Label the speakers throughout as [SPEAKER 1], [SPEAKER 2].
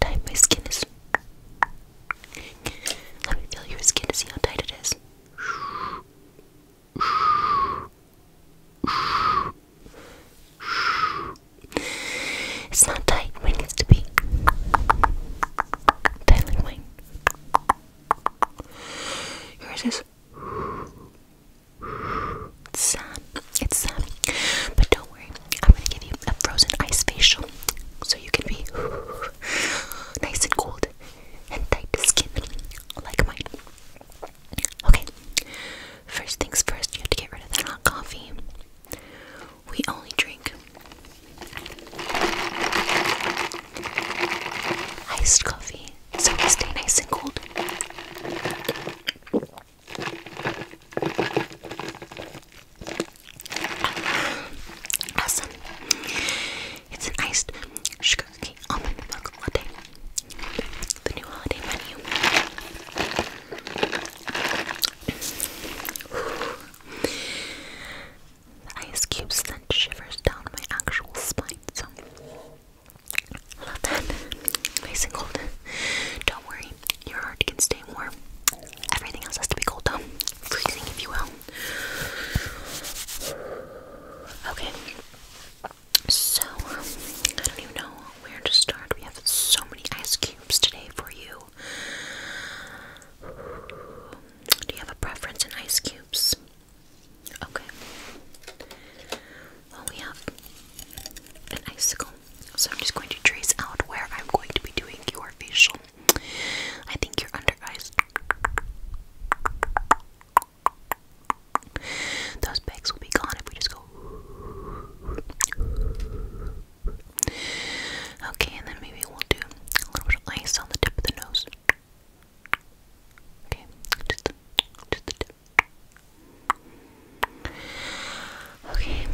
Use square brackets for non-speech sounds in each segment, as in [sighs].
[SPEAKER 1] tight my skin is. Let me feel your skin to see how tight it is. It's not tight when needs to be. Tight like Yours is sun. It's sun. But don't worry, I'm gonna give you a frozen ice facial so you can be [sighs] nice and cold and tight skin like mine. Okay, first things first, you have to get rid of that hot coffee. We only drink iced coffee so we stay nice and cold. Awesome. It's an iced sugar cookie almond milk latte. The new holiday menu. the ice cubes sent shivers down my actual spine. So I Love that. Nice and cold. Don't worry, your heart can stay warm. Everything else has to be cold though. Freezing, if you will. Okay. So, um, I don't even know where to start. We have so many ice cubes today for you. Do you have a preference in ice cubes? Okay we have an icicle, so I'm just going to trace out where I'm going to be doing your facial. I think your under eyes, those bags will be gone if we just go. Okay, and then maybe we'll do a little bit of ice on the tip of the nose. Okay, Okay,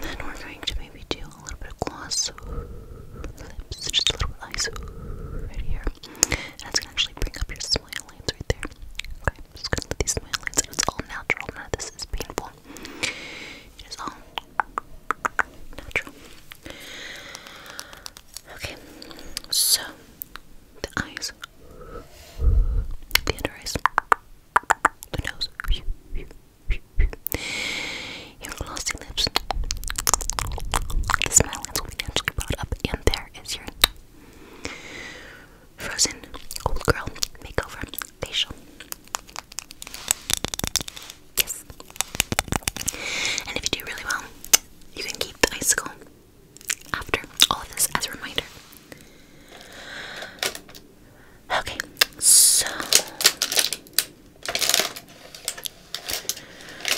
[SPEAKER 1] then we're going to maybe do a little bit of gloss, lips, just a little bit of eyes right here. And it's gonna actually bring up your smile lines right there. Okay, i gonna let these smile lines, and it's all natural. None of this is painful. It is all natural. Okay, so the eyes the under eyes, the nose, your glossy lips. The smile lens will be naturally brought up, and there is your frozen old girl makeover facial. Yes. And if you do really well, you can keep the icicle after all of this as a reminder. Okay, so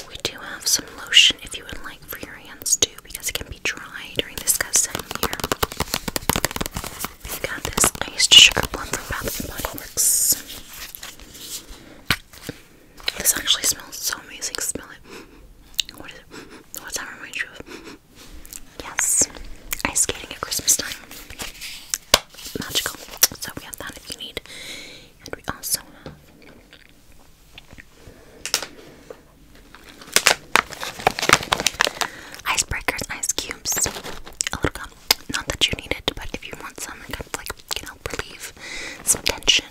[SPEAKER 1] we do have some lotion if you would like for your hands too, because it can be dry during this season here. We've got this iced sugar plum from Bath and Body Works. This actually smells so amazing. Smell it. What is it? What's that remind you Yes, ice skating at Christmas time. Magical. So we have that if you need. And we also have icebreakers, ice cubes, a little Not that you need it, but if you want some kind of like, you know, relieve some tension,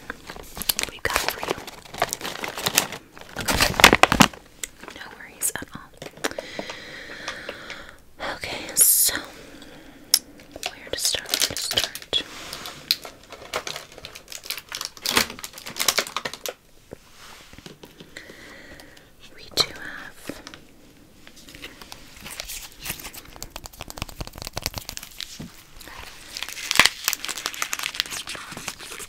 [SPEAKER 1] we've got for you. No worries at all. Okay, so where to start? to start? We do have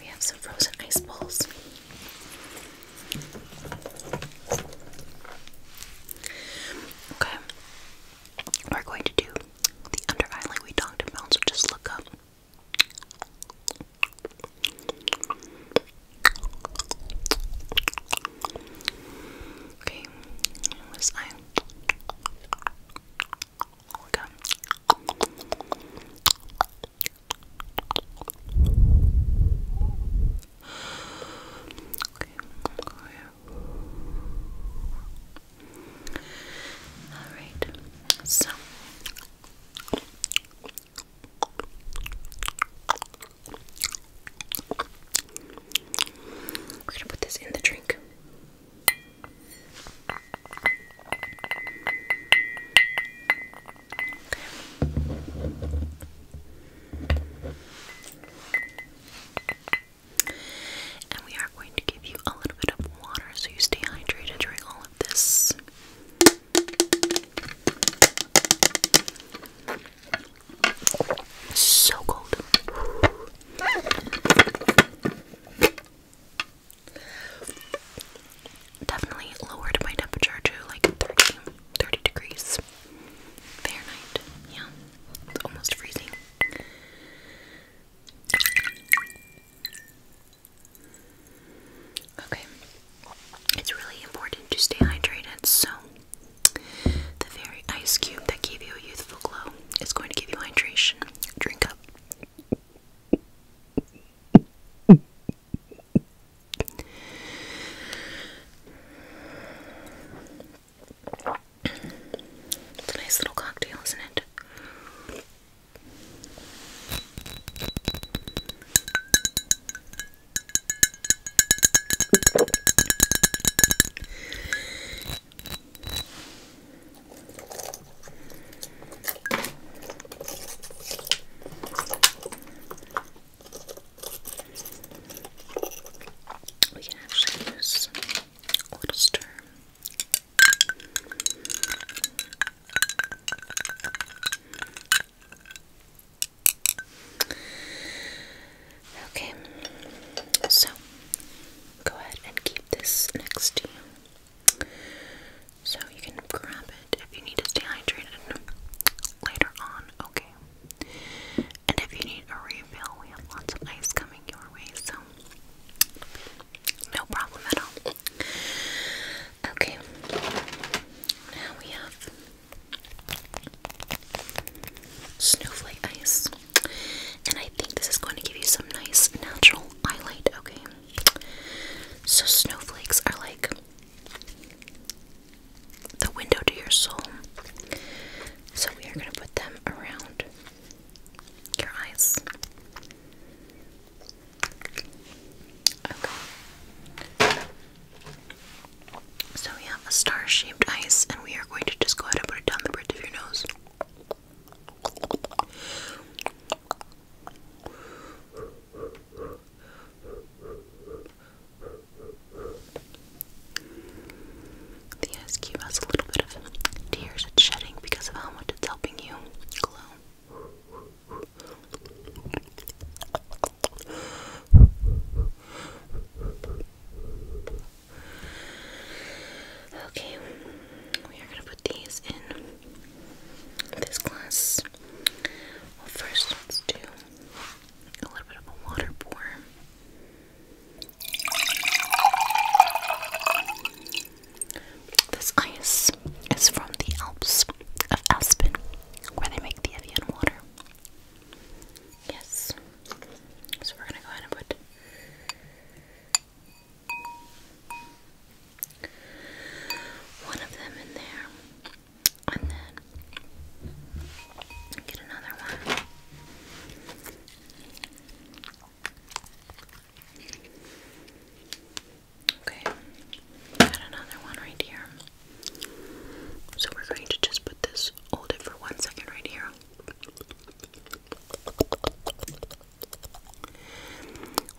[SPEAKER 1] We have some frozen ice balls. Okay, we're going to do the under eye like we talked about, so just look up. Okay, where was Okay, okay. Alright, so we're gonna put this in the drink. And we are going to give you a little bit of water so you stay hydrated during all of this. So cold. Definitely lowered my temperature to like 30, degrees Fahrenheit. Yeah, it's almost freezing. Okay, it's really important to stay hydrated, so the very ice cube that gave you a youthful glow is going to give you hydration. Drink up. It's a nice little cocktail, isn't it? We can actually use a little stir. Okay, so go ahead and keep this next to you. So you can grab it if you need to stay hydrated later on, okay? And if you need a refill, we have lots of ice coming your way, so no problem at all. Okay, now we have Snowflake Ice. And I think this is going to give you some nice natural highlight, okay? So, snowflakes are like the window to your soul. So, we are going to put them around your eyes. Okay. So we have a star-shaped ice, and we are going to just go ahead and put it down the bridge of your nose. The ice cube has a little bit of tears shedding because of how much it's helping you glow. Okay, we are going to put these in this glass. Well, first, let's do a little bit of a water pour. This ice is from the Alps of Aspen, where they make the Evian water. Yes. So we're gonna go ahead and put one of them in there. And then get another one. Okay. Got another one right here. So we're going to just put this, hold it for one second right here.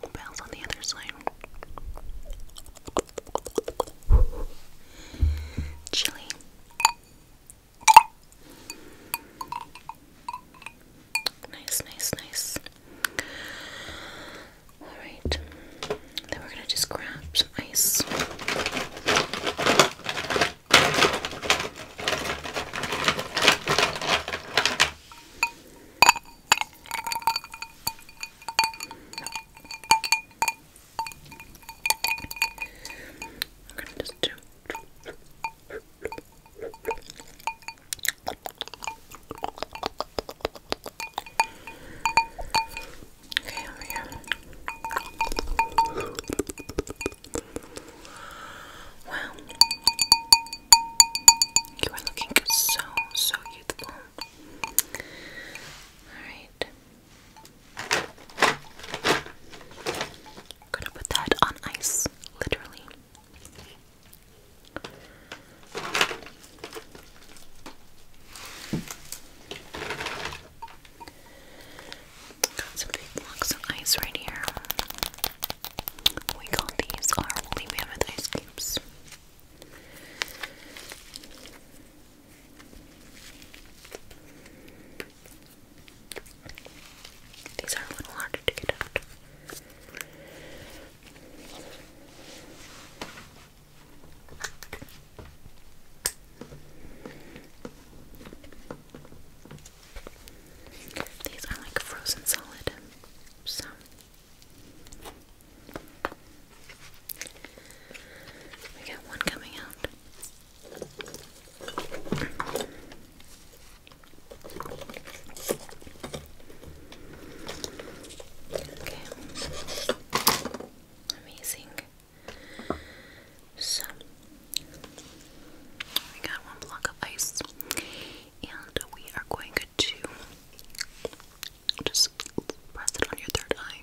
[SPEAKER 1] we on the other side. Chili. Nice, nice, nice. Alright, then we're gonna just grab some ice. I'm gonna just do Okay, Wow. You are looking so, so youthful. Alright. I'm gonna put that on ice, literally. Got some big blocks of ice right here. We call these our woolly mammoth ice cubes. These are a little harder to get out. These are like frozen solid, so we got one coming out. Okay. Amazing. So, we got one block of ice, and we are going to just press it on your third eye.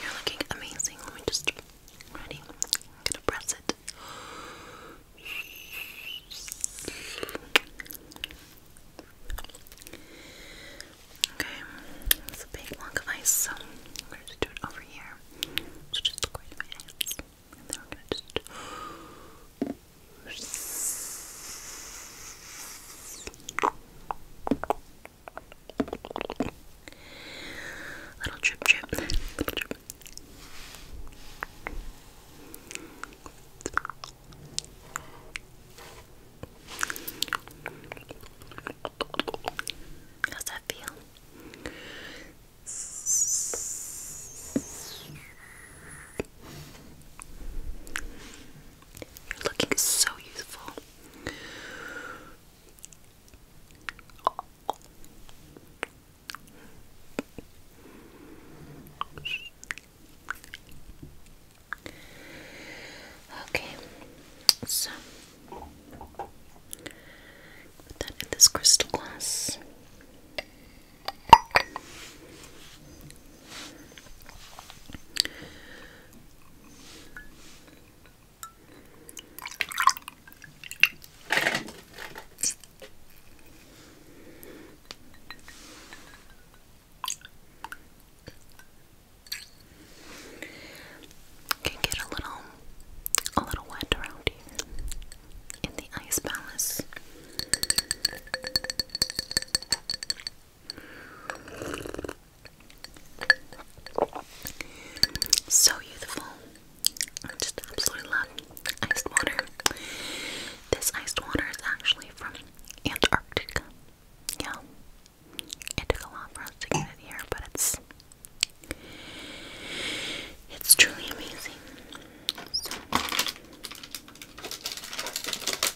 [SPEAKER 1] you're looking amazing. Let me just ready. I'm gonna press it. Okay, it's a big block of ice, so I'm gonna just do it over here. So just look right at my hands. And then we're gonna just Little drip drip. How's that feel? You're looking so youthful. Okay, so put that in this crystal glass. Can get a little a little wet around here in the ice palace. So youthful. I just absolutely love iced water. This iced water is actually from Antarctica. Yeah. It a lot for to get it here, but it's it's truly amazing.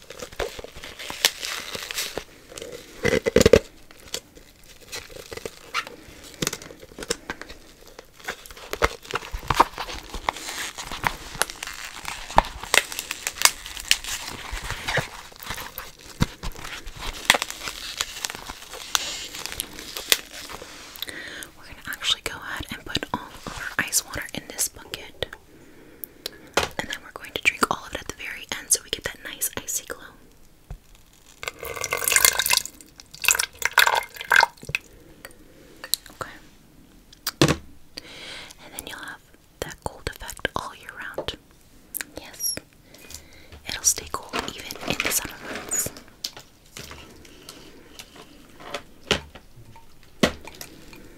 [SPEAKER 1] We're going to actually go ahead and put all our ice water in this bucket. And then we're going to drink all of it at the very end so we get that nice icy glow. Okay. And then you'll have that cold effect all year round. Yes. It'll stay cold even in the summer months.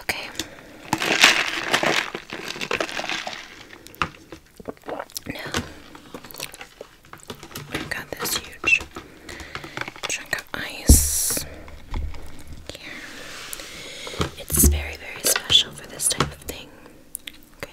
[SPEAKER 1] Okay. Now we got this huge chunk of ice here. It's very, very special for this type of thing. Okay.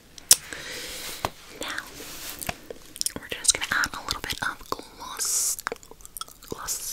[SPEAKER 1] Now, we're just gonna add a little bit of gloss. Gloss.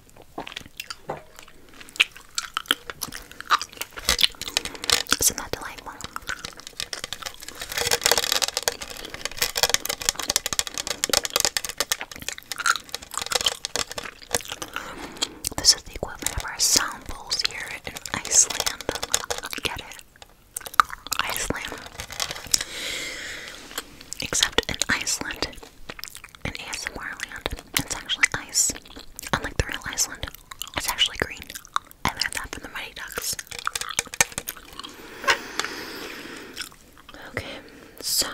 [SPEAKER 1] Isn't that delightful? This is the equivalent of our sound bowls here in Iceland. Get it? Iceland. Except in Iceland, in ASMR land. It's actually ice, unlike the real Iceland. It's actually green. I learned that from the Mighty Ducks. Okay, so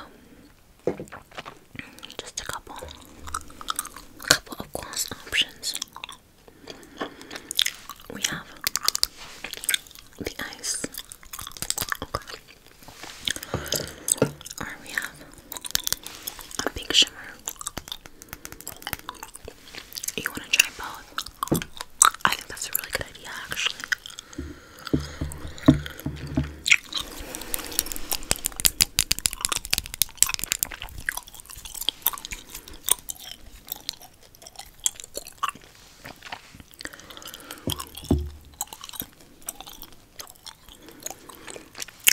[SPEAKER 1] just a couple, a couple of gloss options. We have the ice we have a pink shimmer. You want to try both? I think that's a really good idea, actually.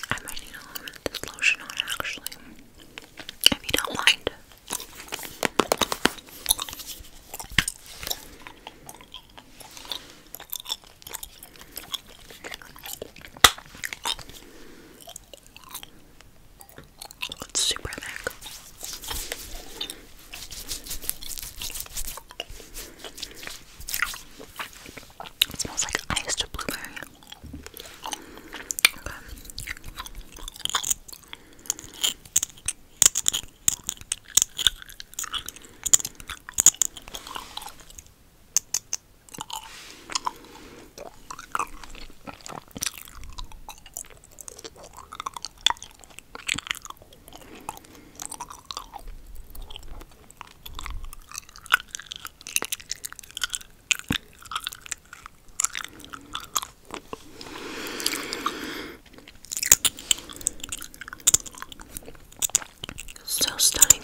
[SPEAKER 1] I might need a little bit of this lotion on actually, if you don't mind. It's super thick. It smells like iced blueberry. So stunning.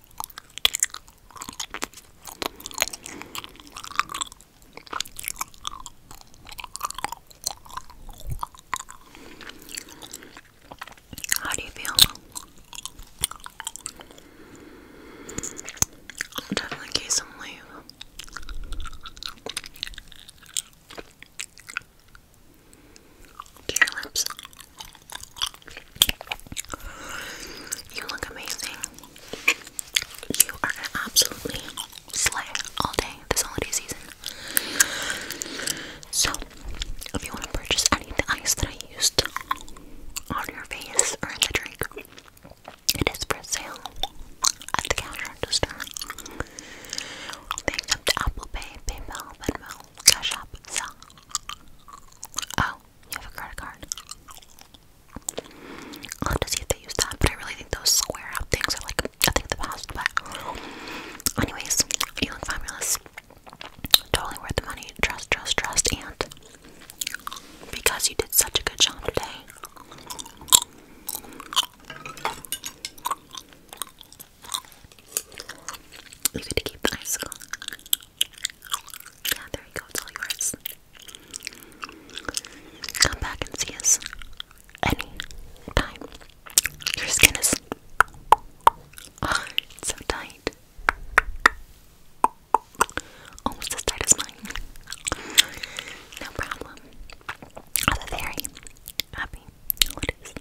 [SPEAKER 1] How do you feel? I'll definitely get some to your lips. You look amazing. You are gonna absolutely slay all day this holiday season. So, if you want to purchase any of the ice that I used on your face or in the drink, it is for sale at the cash register. They accept Apple Pay, PayPal, Venmo, Cash App, Zelle, Oh, you have a credit card. i to see if they use that, but I really think those square up things are like I think the past, but anyways, you look fabulous. Totally worth the money. Trust, trust, trust, and because you did such a good job today. You get to keep the icicle. Yeah, there you go. It's all yours. Come back and see us any time. Your skin is so tight. Almost as tight as mine. No problem. Other very happy. What is?